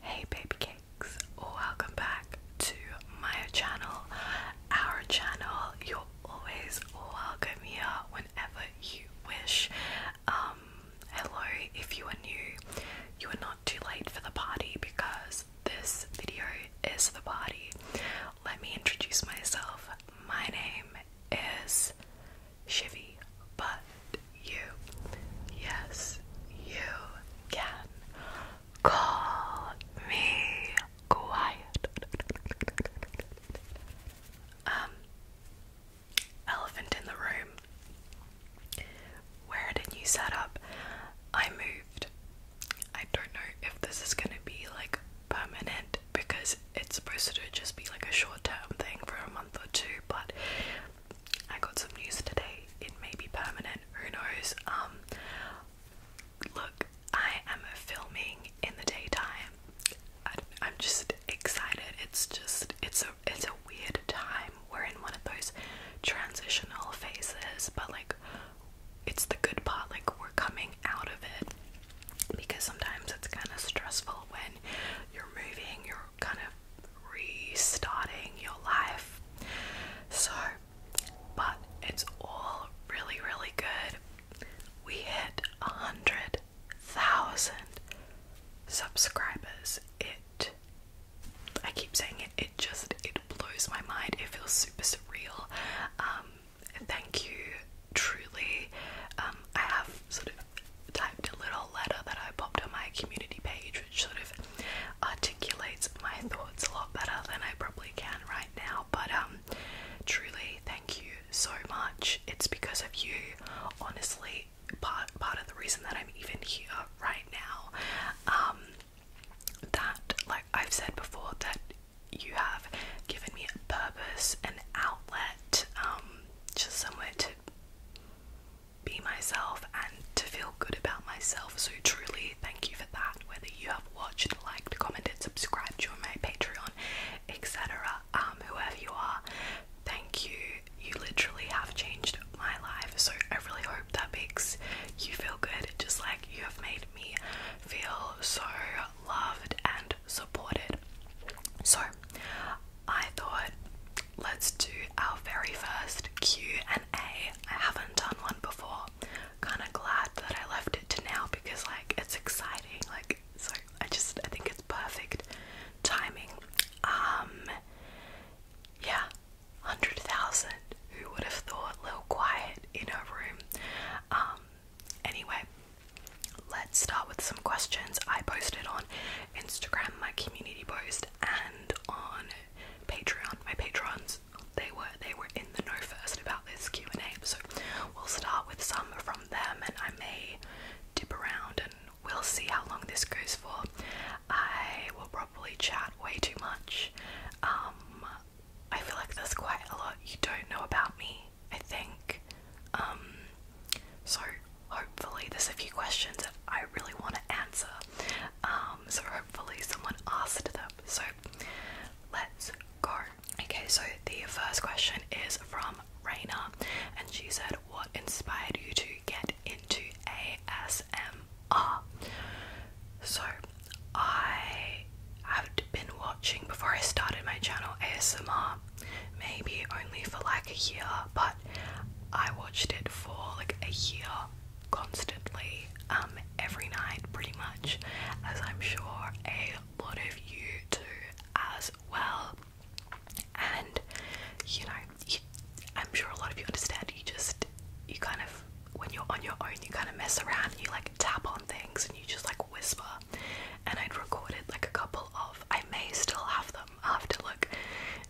Hey baby cakes, welcome back to my channel, our channel. You're always welcome here whenever you wish. Um, hello if you are new, you are not too late for the party because this video is the party. Let me introduce myself. My name is Shivy, but you, yes, you can call me quiet. Um, elephant in the room. Where did you set up? I moved. I don't know if this is gonna be like permanent because it's supposed to just be like a short term thing for a month or two, but I got some news today. It may be permanent, who knows? Um look, I am filming in the daytime. I, am just excited. It's just it's a it's a weird time we're in one of those transitional phases, but like it's the good part, like we're coming out of it because sometimes it's kind of stressful when you're moving, you're kind of restarting your life. So, but it's all really, really good. We hit a hundred thousand subscribers. It I keep saying it, it just it blows my mind. It feels super surreal. Um, thank you truly. Um, I have sort of typed a little letter that I popped on my community page, which sort of articulates my thoughts a lot better than I probably can right now. But um, truly, thank you so much. It's because of you, honestly. Part part of the reason that I'm even here right now. Um, that, like I've said before, that you have given me a purpose, an outlet, um, just somewhere to be myself and to feel good about myself. So truly, thank you for that. Whether you have watched, liked, commented, subscribed, joined my Patreon, etc., um, whoever you are, thank you. You literally have changed my life. So I really hope that makes you feel good, just like you have made me feel so loved and supported. So I thought let's do our very first Q&A. I haven't done one before. Kind of glad that I left it to now because like it's exciting. Like so I just I think it's perfect timing. Um yeah, 100,000. Who would have thought little quiet in her room? Um, anyway, let's start with some questions I posted on Instagram, my community post, and on Patreon. My patrons, they were they were in the know first about this Q and A, so we'll start with some from them, and I may dip around and we'll see how long this goes for. I will probably chat way too much. Um, I feel like there's quite a lot you don't know about me, I think. Um, so hopefully there's a few questions that I really want to answer. Um, so hopefully someone asked them. So let's go. Okay, so the first question is from Raina, and she said, What inspired you to get into ASM?" are. Ah. So, I have been watching before I started my channel ASMR, maybe only for like a year, but I watched it for like a year constantly, um, every night pretty much, as I'm sure a lot of you do as well. And you know, I'm sure a lot of you understand. You just, you kind of, when you're on your own, you kind of mess around and you like tap on things and you just like whisper. And I'd recorded like a couple of, I may still have them after like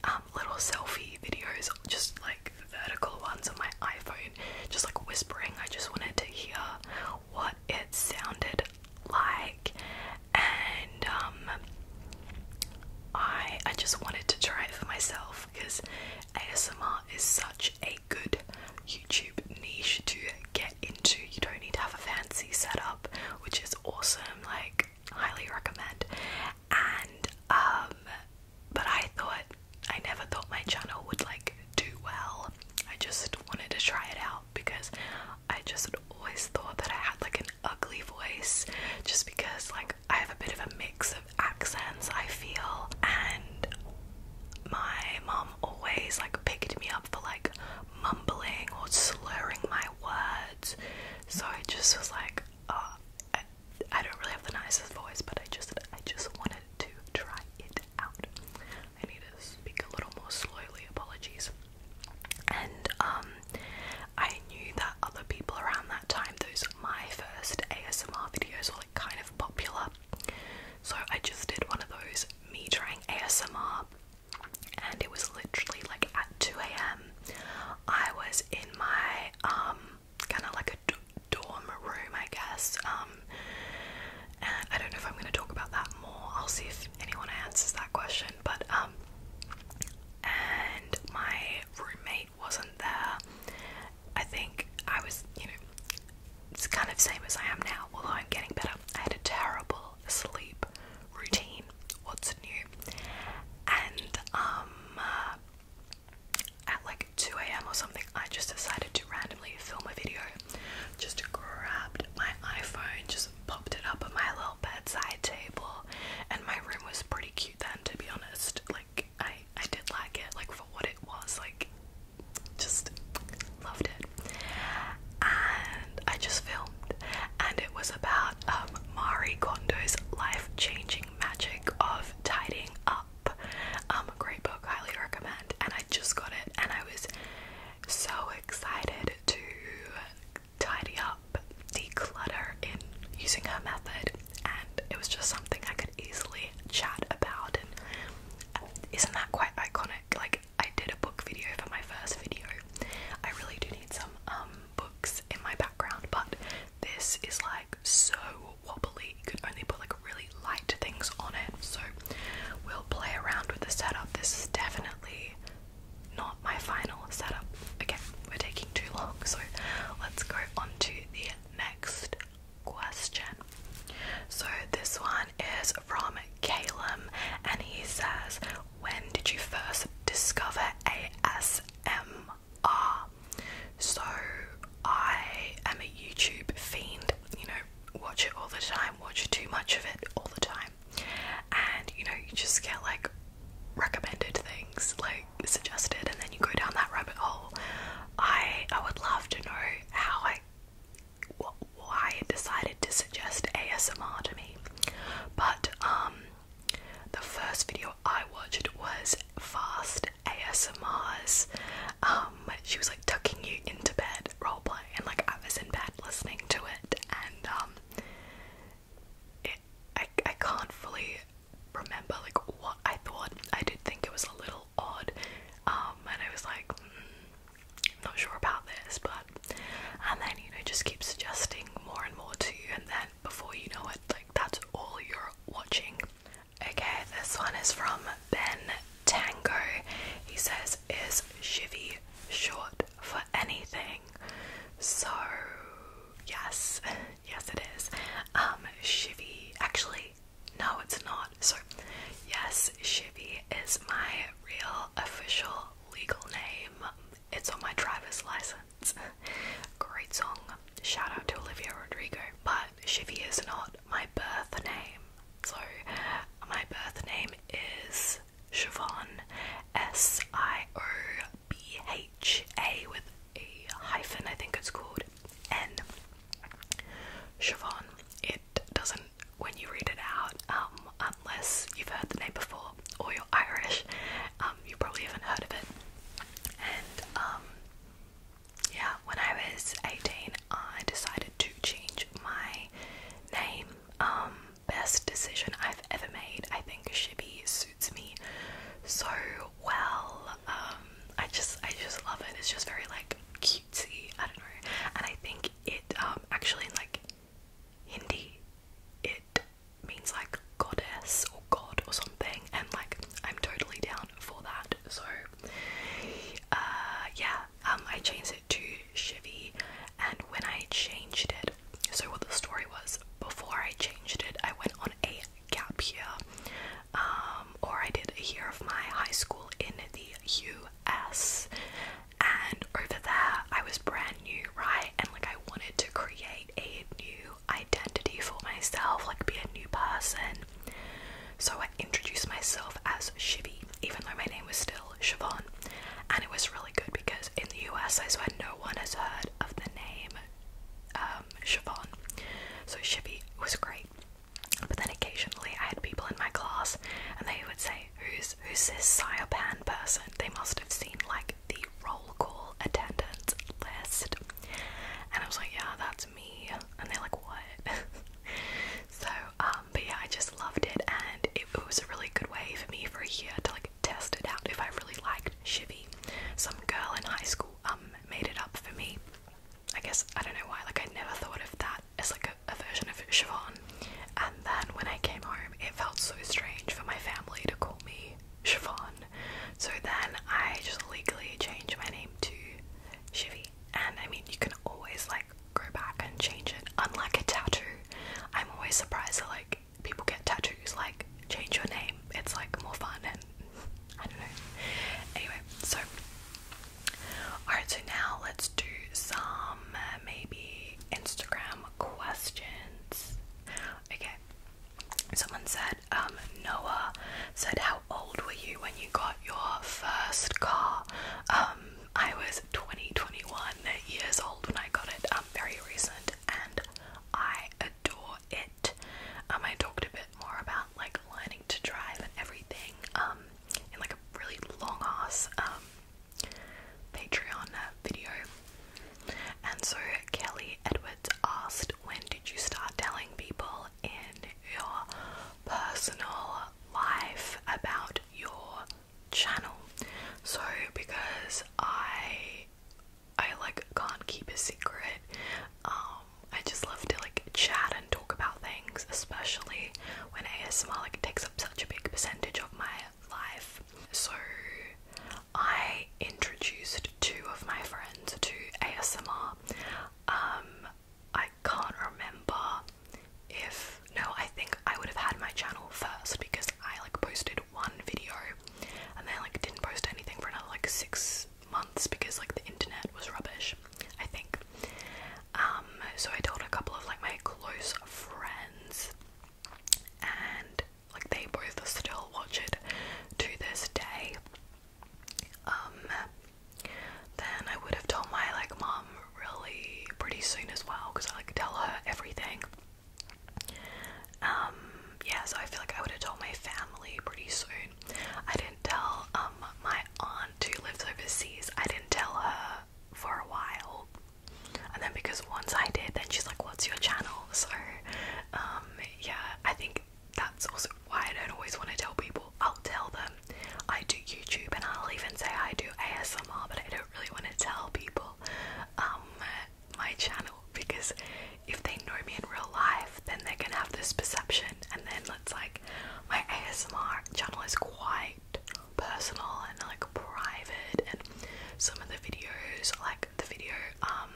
um, little selfie videos, just like vertical ones on my iPhone, just like whispering. I just wanted to hear what it sounded like, and um, I I just wanted to try it for myself because ASMR is such a good YouTube niche to get into. You don't need to have a fancy setup, which is awesome, like highly recommend. And um but I thought I never thought my channel would like do well. I just wanted to try it out because I just always thought that I had like an ugly voice just because like I have a bit of a mix of accents, I feel, and my mom always like picked me up for like mumbling or slurring my words. So I just was like, oh, I, I don't really have the nicest voice, but I just I just wanted to try it out. I need to speak a little more slowly. Apologies. And um, I knew that other people around that time, those my first ASMR videos were like kind of popular. So I just did one of those me trying ASMR and it was literally like at 2am. I was in my um kind of like a dorm room I guess. Um and I don't know if I'm gonna talk about that more. I'll see if anyone answers that question. But um and my roommate wasn't there, I think I was, you know, it's kind of same as I am now, although I'm getting better. I had a terrible sleep routine. What's new? And um, uh, at like 2 a.m. or something, I just decided to randomly film a video. Just grabbed my iPhone, just popped it up on my little bedside table, and my room was pretty cute then, to be honest. Like I I did like it like for what it was like just loved it and I just filmed and it was about um Marie Kondo's life-changing magic of tidying up um great book highly recommend and I just got it and I was so excited to tidy up Declutter in using her method, and it was just something I could easily chat about. And uh, isn't that quite iconic? Like, I did a book video for my first video. I really do need some um, books in my background, but this is like so wobbly. You can only put like really light things on it, so we'll play around with the setup. This is definitely not my final setup. Again, we're taking too long, so let's go on the next question. So, this one is from Calum, and he says, When did you first discover ASMR? So, I am a YouTube fiend, you know, watch it all the time, watch too much of it all the time, and you know, you just get like recommended things like suggested and then you go down that rabbit hole i i would love to know how i why it decided to suggest asmr to me but um the first video i watched was fast asmrs um she was like tucking you into bed role roleplay and like i was in bed listening to it and um I, I can't fully remember like what I thought. I did think it was a little odd, um, and I was like, I'm hmm, not sure about this, but and then you know just keep suggesting more and more to you, and then before you know it, like that's all you're watching. Okay, this one is from Ben Tango. He says, "Is Shivy short for anything?" So yes, Yes, it is. Um, Actually, no, it's not. Sorry. yes, Shivy is my real official legal name. It's on my driver's license. Great song. Shout out to Olivia Rodrigo. But Shivy is not my birth name. So, my birth name is Siobhan S I O BHA with a hyphen, I think it's called N. Siobhan. It doesn't, when you read it out, um, unless you've heard the name before or you're Irish, um, you probably haven't heard of it. And um, yeah, when I was 18, I decided to change my name. best decision I've ever made. I think should be suits me so well. Um, I just I just love it. It's just very like cutesy. I don't know, and I think it um, actually in like Hindi, it means like goddess or god or something, and like I'm totally down for that. So uh, yeah, um, I changed it to Shivy, and when I changed it, so what the story was before I changed it, I went on a gap year, um, or I did a year of my high school in the US. And over there, I was brand new, right? And like, I wanted to create a new identity for myself, like, be a new person. So I introduced myself as Shivy, even though my name was still Siobhan. And it was really good because in the US, I swear no one has heard of the name uh, um, So Chivy was great. But then occasionally I had people in my class and they would say, Who's who's this Cyopan person? They must have seen like the roll call attendance list. And I was like, Yeah, that's me and they're like, What? so, um, but yeah, I just loved it and it was a really good way for me for a year to like like tested out if I really liked Chivy. Some girl in high school um made it up for me. I guess I don't know why. Like I never thought of that as like a, version of Siobhan. And then when I came home, it felt so strange for my family to call me Siobhan. So then I just legally changed my name to Chivy. And I mean, you can always like go back and change it. Unlike a tattoo, I'm always surprised at like people get tattoos, like change your name. It's like more fun and I don't know. Anyway, so alright, so now let's do some uh, maybe Instagram questions. Okay. Someone said, um, Noah said, How old were you when you got your first car? Um, I was twenty twenty one years old when I got it, um, very recent, and I adore it. Um, I talked a bit more about like learning to drive and everything um, in like a really long ass um, Patreon uh, video. And so Kelly Edwards asked, When did you start telling people in your personal life about your channel? So, because I I like can't keep a secret. Um, I just love to like chat and talk about things, especially when ASMR like takes up such a big percentage of my life. So I introduced two of my friends to ASMR. Um, I can't remember if no, I think I would have had my channel first because I like posted one video and then like didn't post anything for another like six months because like the internet was rubbish, I think. Um, so I told a couple of like my close friends and like they both still watch it to this day. Um, then I would have told my like mom really pretty soon as well because I like tell her everything um, yeah, so I feel like I would have told my family pretty soon. I didn't tell um my aunt who lives overseas, I didn't tell her for a while. And then because once I did, then she's like, What's your channel? So um yeah, I think that's also why I don't always want to tell people. I'll tell them I do YouTube and I'll even say I do ASMR, but I don't really want to tell people. Um my channel because if they know me in real life, then they're gonna have this perception, and then it's like my ASMR channel is quite personal and like private, and some of the videos, like the video, um,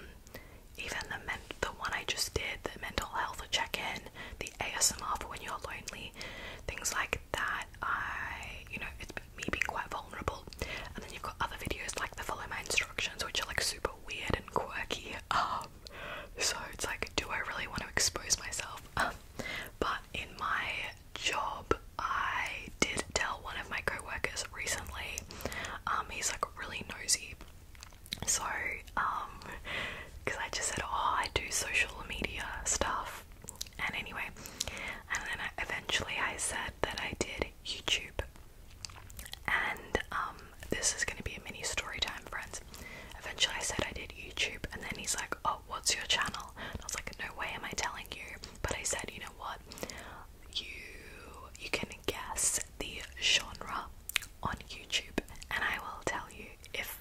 even the men the one I just did, the mental health check-in, the ASMR for when you're lonely, things like that. I, you know, it's me being quite vulnerable vulnerable. And then you've got other videos like the follow my instructions, which are like super weird and quirky. Um, so it's like, do I really want to expose myself? Um, but in my job, I did tell one of my coworkers recently. Um, he's like really nosy. So, because I just said, oh, I do social media stuff. And anyway, and then eventually I said that I did YouTube. And um, this is going to be a mini story time, friends. Eventually, I said I did YouTube, and then he's like, "Oh, what's your channel?" And I was like, "No way, am I telling you?" But I said, "You know what? You you can guess the genre on YouTube, and I will tell you if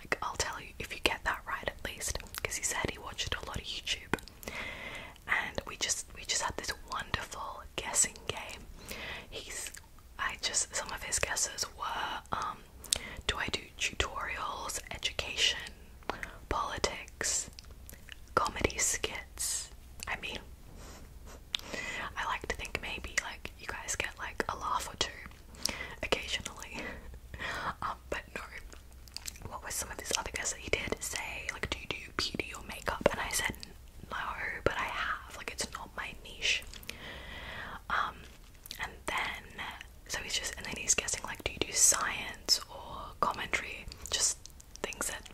like I'll tell you if you get that right at least." Because he said he watched a lot of YouTube, and we just we just had this wonderful guessing game. He's I just some of his guesses were um do I do tutorials, education, politics, comedy skits? I mean I like to think maybe like you guys get like a laugh or two occasionally. Um, but no what were some of his other guesses he did say like do you do beauty or makeup? And I said, no, but I have. Like, it's not my niche. Um, and then, so he's just, and then he's guessing, like, do you do science or commentary? Just things that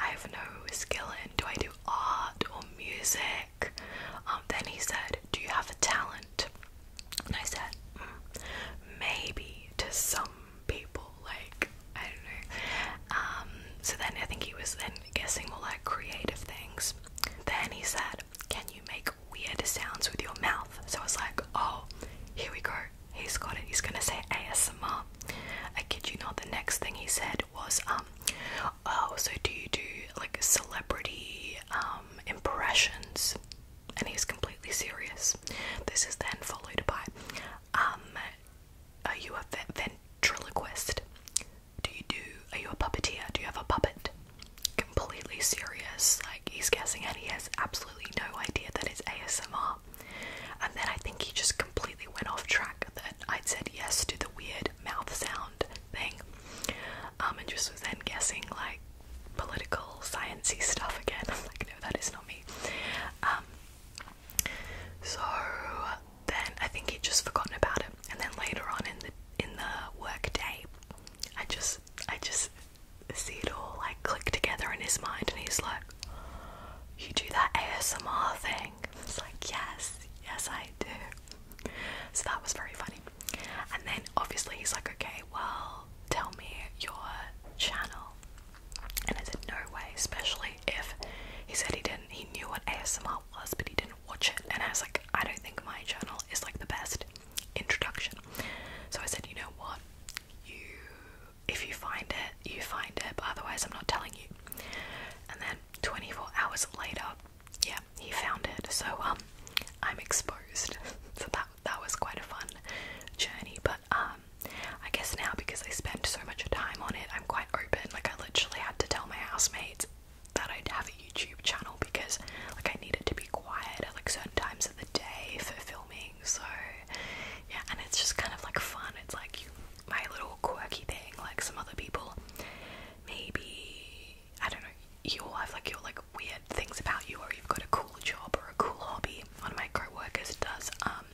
I have no skill in. Do I do art or music? Um, then he said, do you have a talent? And I said, mm, maybe to some people like I don't know. Um, so then I think he was then guessing more like creative things. Then he said, "Can you make weird sounds with your mouth?" So I was like, "Oh, here we go. He's got it. He's gonna say ASMR." I kid you not. The next thing he said was, "Um, oh, so do you do like celebrity um impressions?" And he's completely serious. This is then followed by, um, are you a ventriloquist? Do you do? Are you a puppeteer? Do you have a puppet? Completely serious. Like he's guessing, and he has absolutely no idea that it's ASMR. And then I think he just completely went off track that I'd said yes to the weird mouth sound thing, um, and just was then guessing like political, sciency stuff again. like, no, that is not me. Um, so then I think he'd just forgotten about it, and then later on in the in the work day, I just I just see it all like click together in his mind, and he's like, "You do that ASMR thing?" It's like, "Yes, yes, I do." So that was very funny. And then obviously he's like, "Okay, well, tell me your channel." And I said, no way, especially if he said he didn't, he knew what ASMR was, but he didn't watch it. And I was like, I don't think my journal is like the best introduction. So I said, you know what? You, if you find it, you find it, but otherwise, I'm not telling you. And then 24 hours later, yeah, he found it. So, um, I'm exposed. so that that was quite a fun journey. But um. Um, I guess now because I spend so much time on it, I'm quite open. Like I literally had to tell my housemates that I'd have a YouTube channel because like I needed to be quiet at like certain times of the day for filming. So yeah, and it's just kind of like fun. It's like my little quirky thing. Like some other people, maybe I don't know. You all have like your like weird things about you, or you've got a cool job or a cool hobby. One of my co-workers does um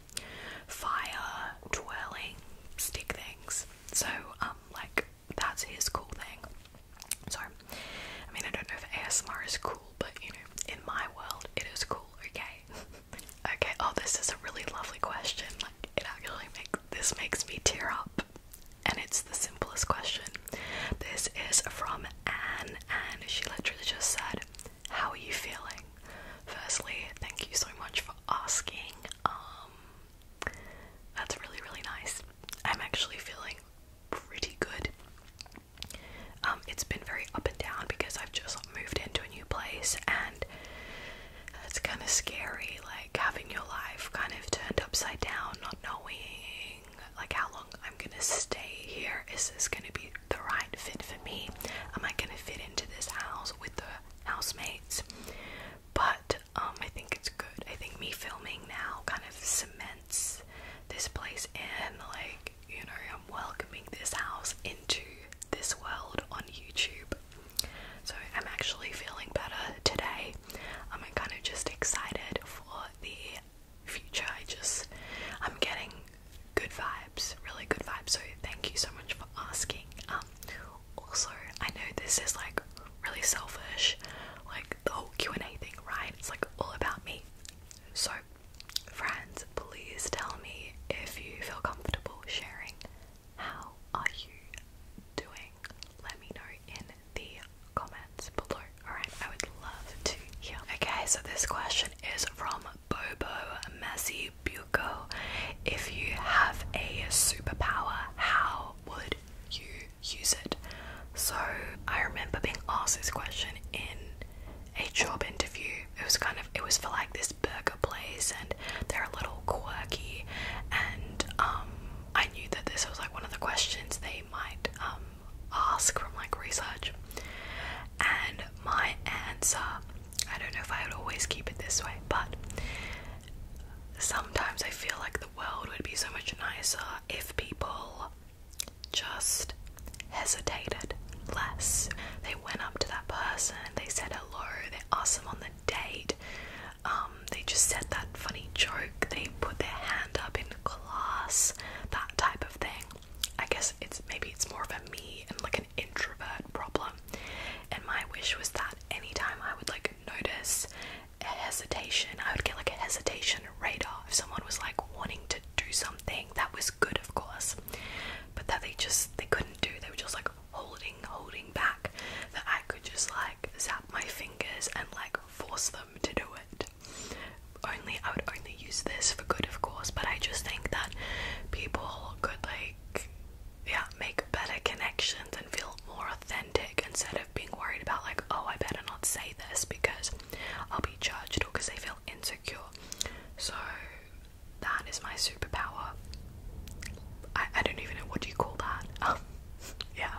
fire twirling stick things. So, um, like that's his cool thing. So, I mean, I don't know if ASMR is cool, but you know, in my world, it is cool. Okay, okay. Oh, this is a really lovely question. Like, it actually makes this makes me tear up, and it's the simplest question. This is from Anne, and she literally just said, how are you feeling? Firstly, thank you so much for asking. Um, that's really, really nice. I'm actually feeling pretty good. Um, it's been very up and down because I've just moved into a new place and it's kind of scary, like having your life kind of turned upside down, not knowing like how long I'm gonna stay here. Is this gonna be the right fit for me? Am I gonna fit into this house with the housemates? But um, I think it's good. I think me filming now kind of cements this place in. Like, you know, I'm welcoming this house into this world on YouTube. So I'm actually feeling better today. I'm kind of just excited for the future. I just, I'm getting good vibes, really good vibes. So thank you so much for asking. Um, also, I know this is like really selfish, like the whole Q and A thing, right? It's like all about me. So, friends, please tell me if you feel comfortable sharing. How are you doing? Let me know in the comments below. Alright, I would love to hear. Okay, so this question is from Bobo Messy Buko, if you have a superpower, how would you use it? So I remember being asked this question in a job interview. It was kind of it was for like this burger place and they're a little quirky and um, I knew that this was like one of the questions they might um, ask from like research. And my answer I don't know if I would always keep it this way, but sometimes I feel like the world would be so much nicer if people just hesitated less. They went up to that person, they said hello, they asked them on the date, um, they just said that funny joke, they put their hand up in class, that type of thing. I guess it's maybe it's more of a me and like introvert problem. And my wish was that anytime I would like notice a hesitation, I would get like a hesitation radar. If someone was like wanting to do something, that was good, of course, but that they just they couldn't do. They were just like holding, holding back. That I could just like zap my fingers and like force them to do it. Only I would only use this for good, of course, but I just think that people could like, yeah, make better connections and feel more authentic instead of being worried about like, oh, I better not say this because I'll be judged or because they feel insecure. So that is my superpower. I, I don't even know what do you call that. Um, yeah.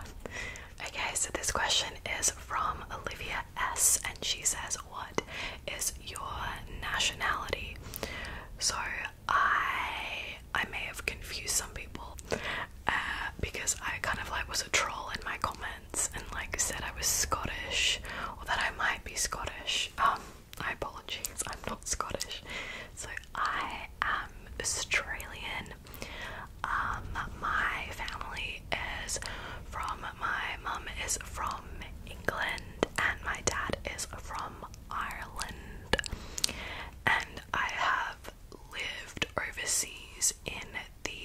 Okay, so this question is from Olivia S, and she says, "What is your nationality. So I I may have confused some people uh, because I kind of like was a troll in my comments and like said I was Scottish or that I might be Scottish. Um, I apologize, I'm not Scottish. So I am Australian. Um, my family is from my mum is from England and my dad is from Ireland. And I have lived overseas in the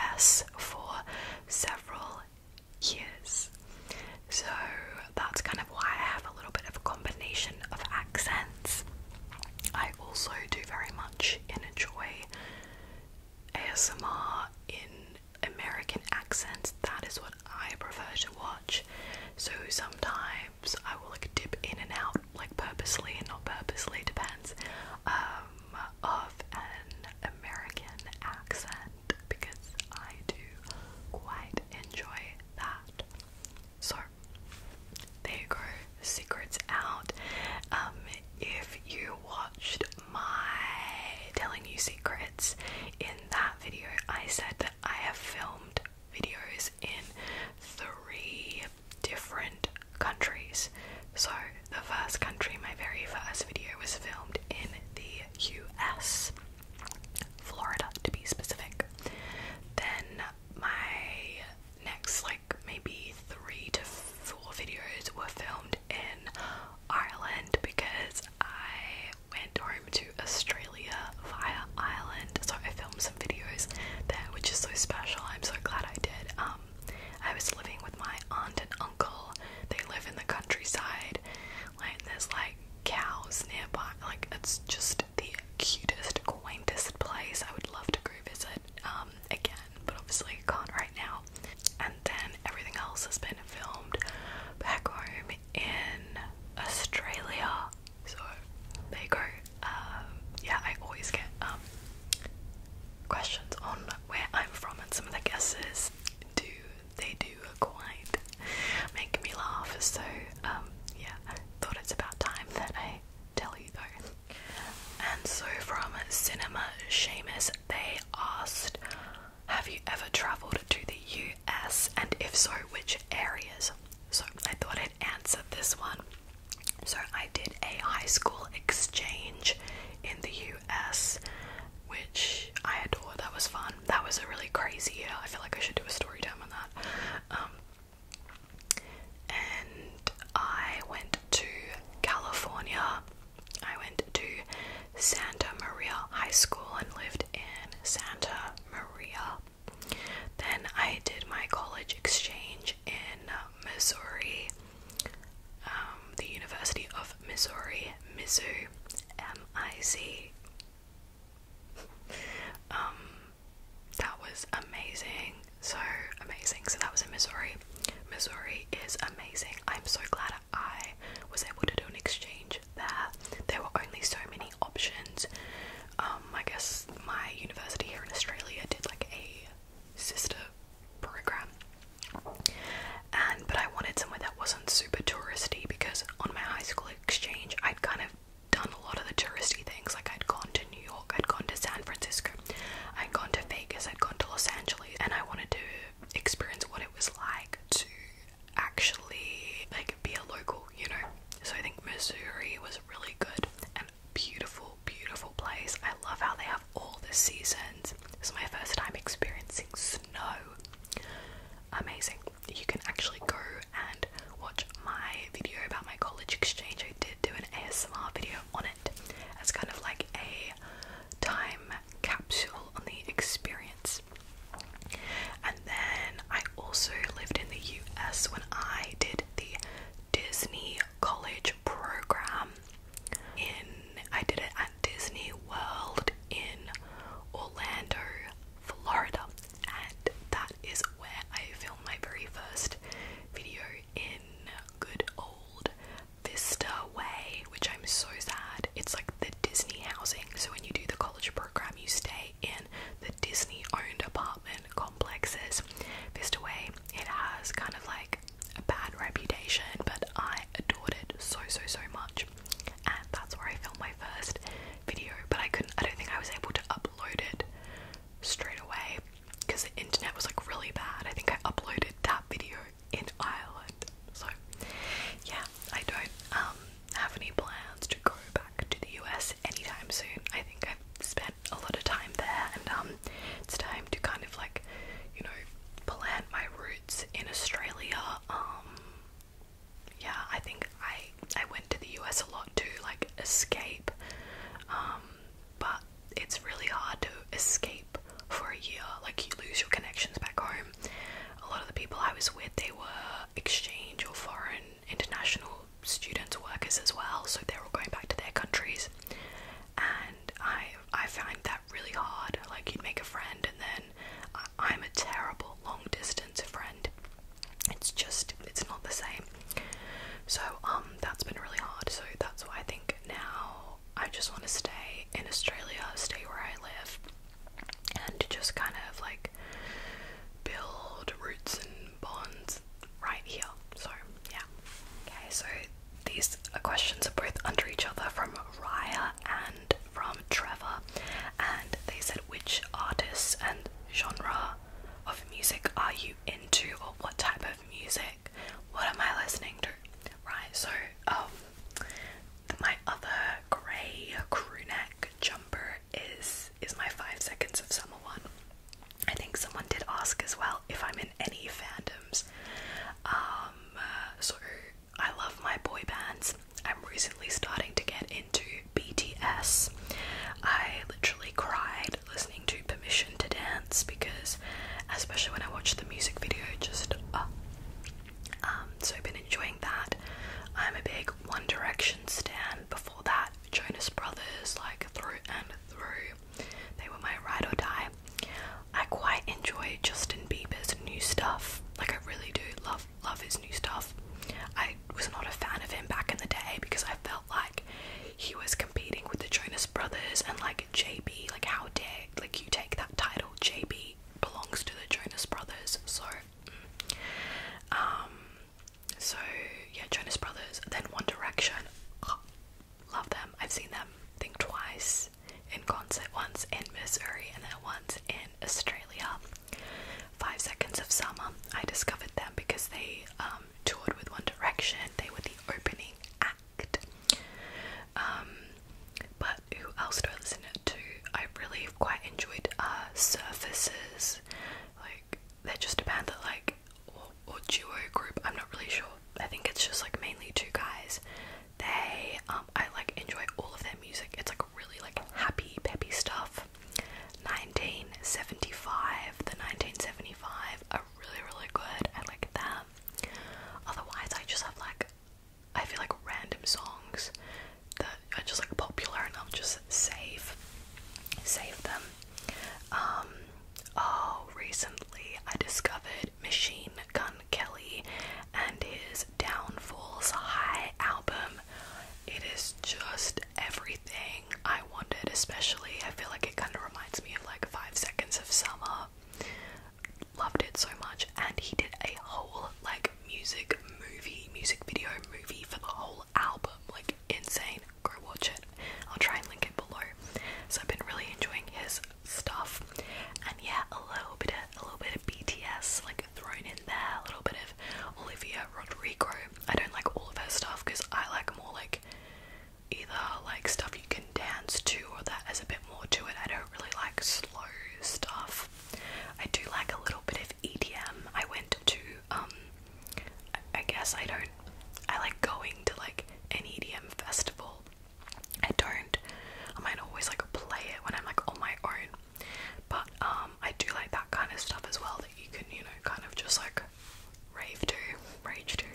US for several years. So that's kind of why I have a little bit of a combination of accents. I also do very much enjoy ASMR in American accents, that is what I prefer to watch. So sometimes I will like dip in and out, like purposely and not purposely, depends, um, of an American accent because I do quite enjoy that. So there you go, secrets out. Um, if you watched my telling you secrets. In that video, I said that I have filmed videos in three different countries. So, the first country, my very first video, was filmed in the US, Florida to be specific. Then, my next, like, maybe three to four videos were filmed in Ireland because I went home to Australia via Ireland, so I filmed some videos there, which is so special. I'm so glad I did. Um, I was living with my aunt and uncle. They live in the countryside. Like there's like cows nearby. Like it's just the cutest, quaintest place. I would love to revisit. um again, but obviously can't right now and then everything else has been filmed back home in Australia. So they go. Um, yeah, I always get um, questions on where I'm from, and some of the guesses do they do quite make me laugh. So um, yeah, thought it's about time that I tell you though. And so from Cinema Seamus, they asked have you ever travelled to the US and if so, which areas? So I thought I'd answer this one. So I did a high school exchange in the US, which I adore. That was fun. That was a really crazy year. I feel like I should do a story time on that. Um, and I went to California I went to Santa Maria High School and lived in Santa Maria. Then I did my college exchange in Missouri, um, the University of Missouri, Mizzou, M I Z. Um, that was amazing, so amazing. So that was in Missouri. Missouri is amazing. I'm so glad I was able to do an exchange there. There were only so many options. Um, I guess my university here in Australia did like a sister program, and but I wanted somewhere that wasn't super touristy because on my high school exchange I'd kind of done a lot of the touristy things. Like I'd gone to New York, I'd gone to San Francisco, I'd gone to Vegas, I'd gone to Los Angeles, and I wanted to experience what it was like to actually like be a local, you know. So I think Missouri was really good and beautiful, beautiful place. I love how they have all the seasons. This is my first time experiencing snow. Amazing. You can actually go and watch my video about my college exchange. I did do an ASMR video on it as kind of like a time capsule on the experience. And then I also lived in the US when I did the Disney College program. In I did it at Disney World in Orlando, Florida, and that is where I filmed my very first video in good old Vista Way, which I'm so sad. It's like the Disney housing. So when you do the college program, you stay in the Disney owned apartment complexes. Vista Way, it has kind of like a bad reputation, but I adored it so so so much. And that's where I filmed my first video, but I couldn't I don't think I was able to upload it straight away because the internet was like really bad. I think I uploaded that video in Ireland. So yeah, I don't um, have any plans to go back to the US anytime soon. I think I've spent a lot of time there and um, it's time to kind of like, you know, plant my roots in Australia. Um, yeah, I think I I went to the US a lot to like escape. but it's really hard to escape for a year. Like you lose your connections back home a lot of the people I was with, they were exchange or foreign international students, workers as well, so they're all going back to their countries. And I I find that really hard. Like you'd make a friend, and then I'm a terrible long distance friend. It's just it's not the same. So um, that's been really hard. So that's why I think now I just want to stay in Australia, stay where I live, and just kind of like build roots and bonds right here. So, yeah. Okay, so these questions are both under each other from Raya and from Trevor, and they said which artists and genre of music are you into, or what type of music? What am I listening to? Right, so um, my other grey crew jumper is is my five seconds of summer one. I think someone did ask as well if I'm in any fandoms. Um, so I love my boy bands. I'm recently starting to get into BTS. I literally cried listening to Permission to Dance because, especially when I watched the music video, just uh, um, so I've been enjoying that. I'm a big One Direction stan. Before that, Jonas Brothers, like through and through. They were my ride or die. I quite enjoy Justin Bieber's new stuff. Like I really do love love his new stuff. I was not a fan of him back in the day because I felt like he was competing with the Jonas Brothers and like JB. Like how dare like you take that title, JB? belongs to the Jonas Brothers. So, mm. um, so yeah, Jonas Brothers. Then One Direction. love them. I've seen them. Think twice in concert. Once in Missouri, and then once in Australia. Five Seconds of Summer. I discovered them because they um, toured with One Direction. They were the opening act. Um, but who else do I listen to? I really quite enjoyed uh, Surfaces. Like they're just a band that like or, duo group. I'm not really sure. I think it's just like mainly two guys. They um, I like enjoy all of their music. It's like really like happy peppy stuff. 1975, the 1975 are really really good. I like them. Otherwise, I just have like I feel like random songs that are just like popular and I'll just save save them. Um, oh recently I discovered Machine Gun Kelly and his Downfalls High album. It is just everything I wanted, especially I feel like it kind of reminds me of like five seconds of summer loved it so much and he did a whole like music movie music video movie for the whole album like insane go watch it i'll try and link it below so i've been really enjoying his stuff and yeah a little bit of a little bit of bts like thrown in there a little bit of olivia rodrigo i don't like all of her stuff because i like more like either like stuff you can dance to or that has a bit more to it. I don't really like slow stuff. I do like a little bit of EDM. I went to um, I guess I don't I like going to like an EDM festival. I don't I might always like play it when I'm like on my own. But um, I do like that kind of stuff as well that you can, you know, kind of just like rave to, rage to.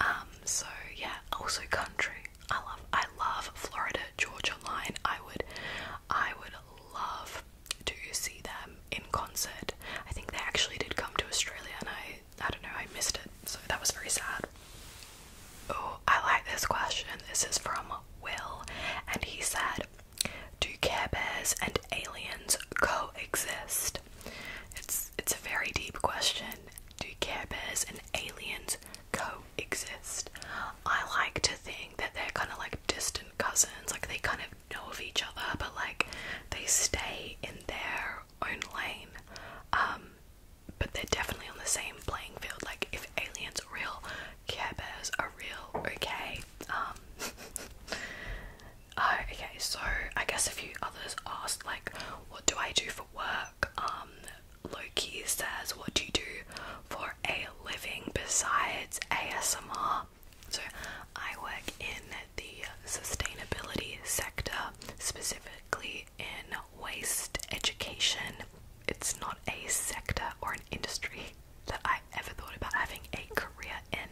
Um, so yeah, also country. I love I love Florida Georgia Line. I would I would love to see them in concert. I think they actually did come to Australia and I I don't know, I missed it. So that was very sad. Oh, I like this question. This is from Will and he said, Do Care Bears and aliens coexist? It's it's a very deep question. Do Care Bears and aliens coexist. I like to think that they're kind of like distant cousins, like they kind of know of each other, but like they stay in their own lane. Um, but they're definitely on the same playing field. Like if aliens are real, Care Bears are real. Okay. Um. Uh, okay. So I guess a few others asked, like, what do I do for work? Um, Loki says, What do you do for a living besides ASMR? So, I work in the sustainability sector, specifically in waste education. It's not a sector or an industry that I ever thought about having a career in,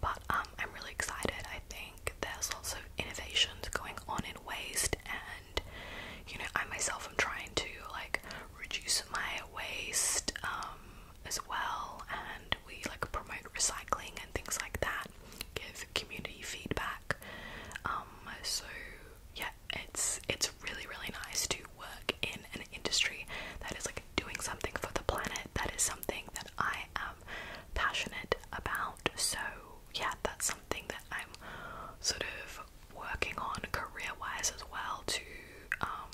but um, I'm really excited. I think there's lots of innovations going on in waste, and you know I myself am trying to like reduce my waste um, as well and we like promote recycling and things like that give community feedback um, so yeah it's it's really really nice to work in an industry that is like doing something for the planet that is something that I am passionate about so yeah that's something that I'm sort of working on career wise as well to um,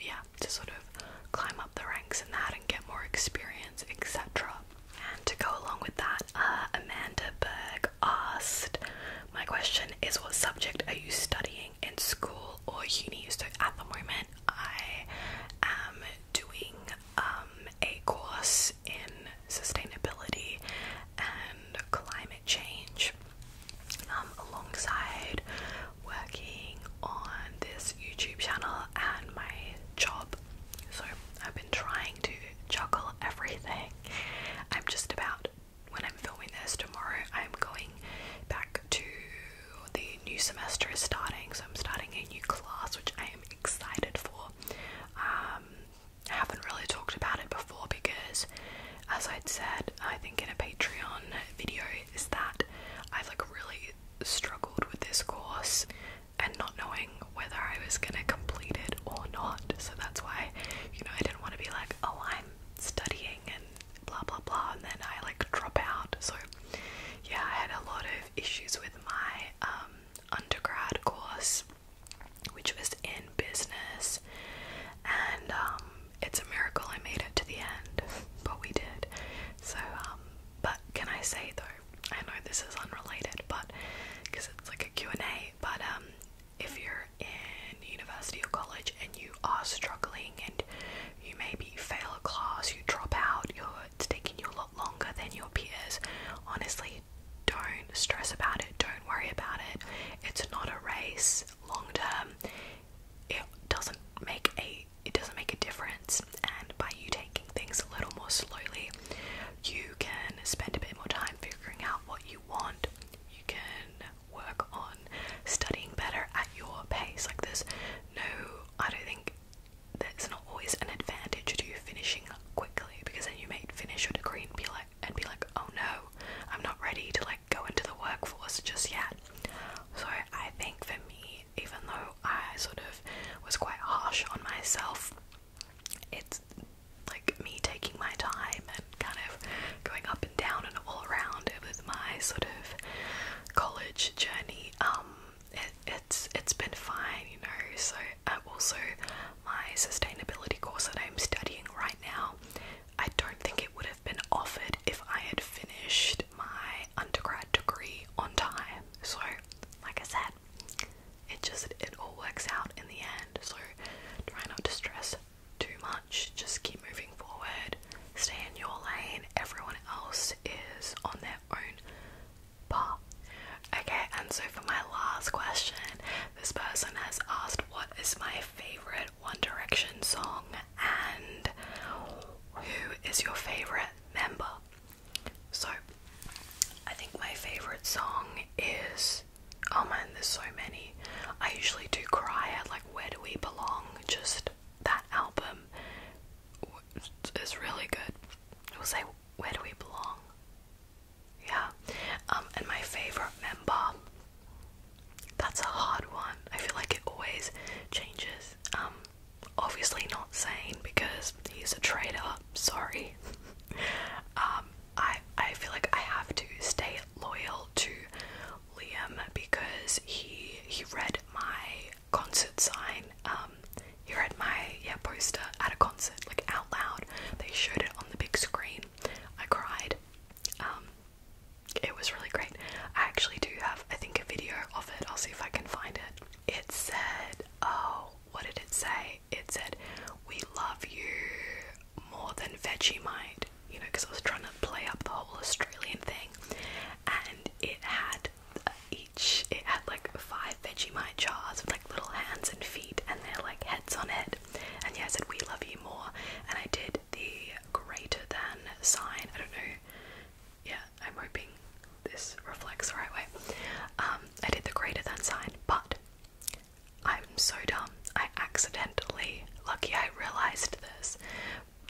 yeah to sort of climb up the ranks in that and get more experience etc and to go along with that uh, Amanda Berg asked my question is what subject are you studying in school or uni so at the moment I am doing um, a course in sustainability and climate change, um, alongside working on this YouTube channel and my job. So I've been trying to juggle everything. I'm just about when I'm filming this tomorrow, I'm going back to the new semester is starting, so I'm starting a new class, which I am excited for. Um, I haven't really talked about it before because, as I'd said, I think in a Patreon video, is that I've like really struggled with this course and not knowing whether I was gonna complete it or not. So that's why, you know, I didn't want to be like, oh, I'm studying and blah blah blah, and then I like drop out. So, yeah, I had a lot of issues with my um, undergrad course which was in business, and um, it's a miracle I made it to the end, but we did. So, um, but can I say though, I know this is unrelated, but because it's like a Q&A, but um, if you're in university or college and you are struggling and you maybe fail a class, you drop out, it's taking you a lot longer than your peers, honestly, don't stress about it, don't worry about it. It's not a race long term. It doesn't make a it doesn't make a difference and by you taking things a little more slowly, you can spend a bit more time figuring out what you want. You can work on studying better at your pace. Like this, no I don't think there's not always an advantage to you finishing quickly because then you may finish your degree and be like and be like, oh no, I'm not ready to like go into the workforce just yet. So I think for me, even though I sort of was quite harsh on myself, it's like me taking my time and kind of going up and down and all around with my sort of college journey. Um, it, it's it's been fine, you know. So uh, also my sustainability course that I'm studying right now, I don't think it would have been offered if I had finished my undergrad degree on time. So like I said, it just it all works out in the end. So try not to stress too much. Just keep moving forward. Stay in your lane. Everyone else is on their own Okay, and so for my last question, this person has asked what is my favorite One Direction song and who is your favorite member? So, I think my favorite song is oh man, there's so many. I usually do cry at like Where Do We Belong? Just that album is really good. we will say Where Do We Belong? Yeah. Um, and my favorite member. That's a hard one. I feel like it always changes. Um, obviously not saying because he's a traitor. Sorry. Um, I I feel like I have to stay loyal to Liam because he he read my concert sign um, um, you read my yeah poster at a concert, like out loud. They showed it on the big screen. I cried. Um, it was really great. I actually do have, I think, a video of it. I'll see if I can find it. It said, oh, what did it say? It said, we love you more than Vegemite, you know, because I was trying to play up the whole Australian thing. And it had it had like five Vegemite jars with like little hands and feet and they're like heads on it. And yeah, I said, We love you more. And I did the greater than sign. I don't know. Yeah, I'm hoping this reflects the right way. Um, I did the greater than sign, but I'm so dumb. I accidentally, lucky I realized this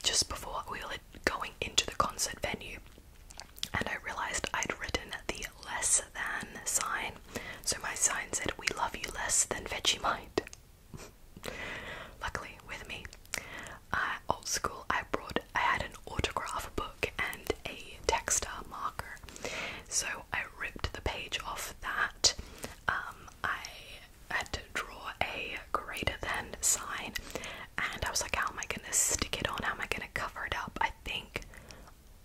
just before we were going into the concert venue and I realized I'd written the less than sign, so my sign said, We love you less than Vegemite. Luckily, with me, uh, old school, I brought, I had an autograph book and a textile marker, so I ripped the page off that. Um, I had to draw a greater than sign, and I was like, How oh am I gonna stick it on? How am I gonna cover it up? I think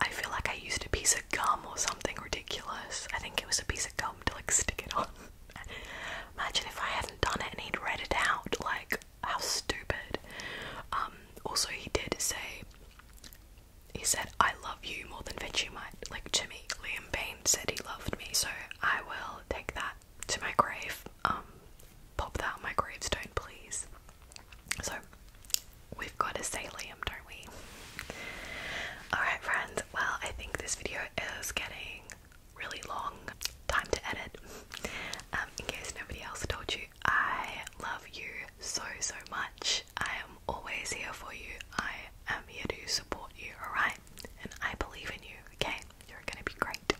I feel like I used a piece of gum or something ridiculous. I think it was a piece of gum to like stick it on. Imagine if I hadn't done it and he'd read it out. Like, how stupid. Um, also, he did say, he said, I love you more than might Like, Jimmy Liam Payne said he loved me, so I will take that to my grave. Um, pop that on my gravestone, please. So we've got to say Liam, don't we? Alright friends, well I think this video is getting really long. Time to edit. Um, in case nobody else told you, I love you so so much. I am always here for you. I am here to support you, alright? And I believe in you, okay? You're gonna be great.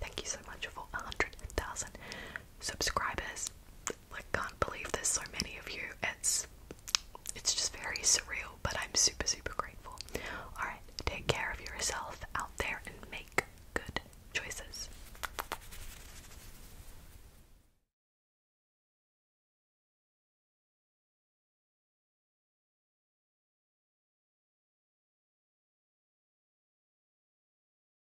Thank you so much for 100,000 subscribers. I can't believe there's so many of you. It's it's just very surreal, but I'm super super grateful. Alright, take care of yourself out there and make good choices.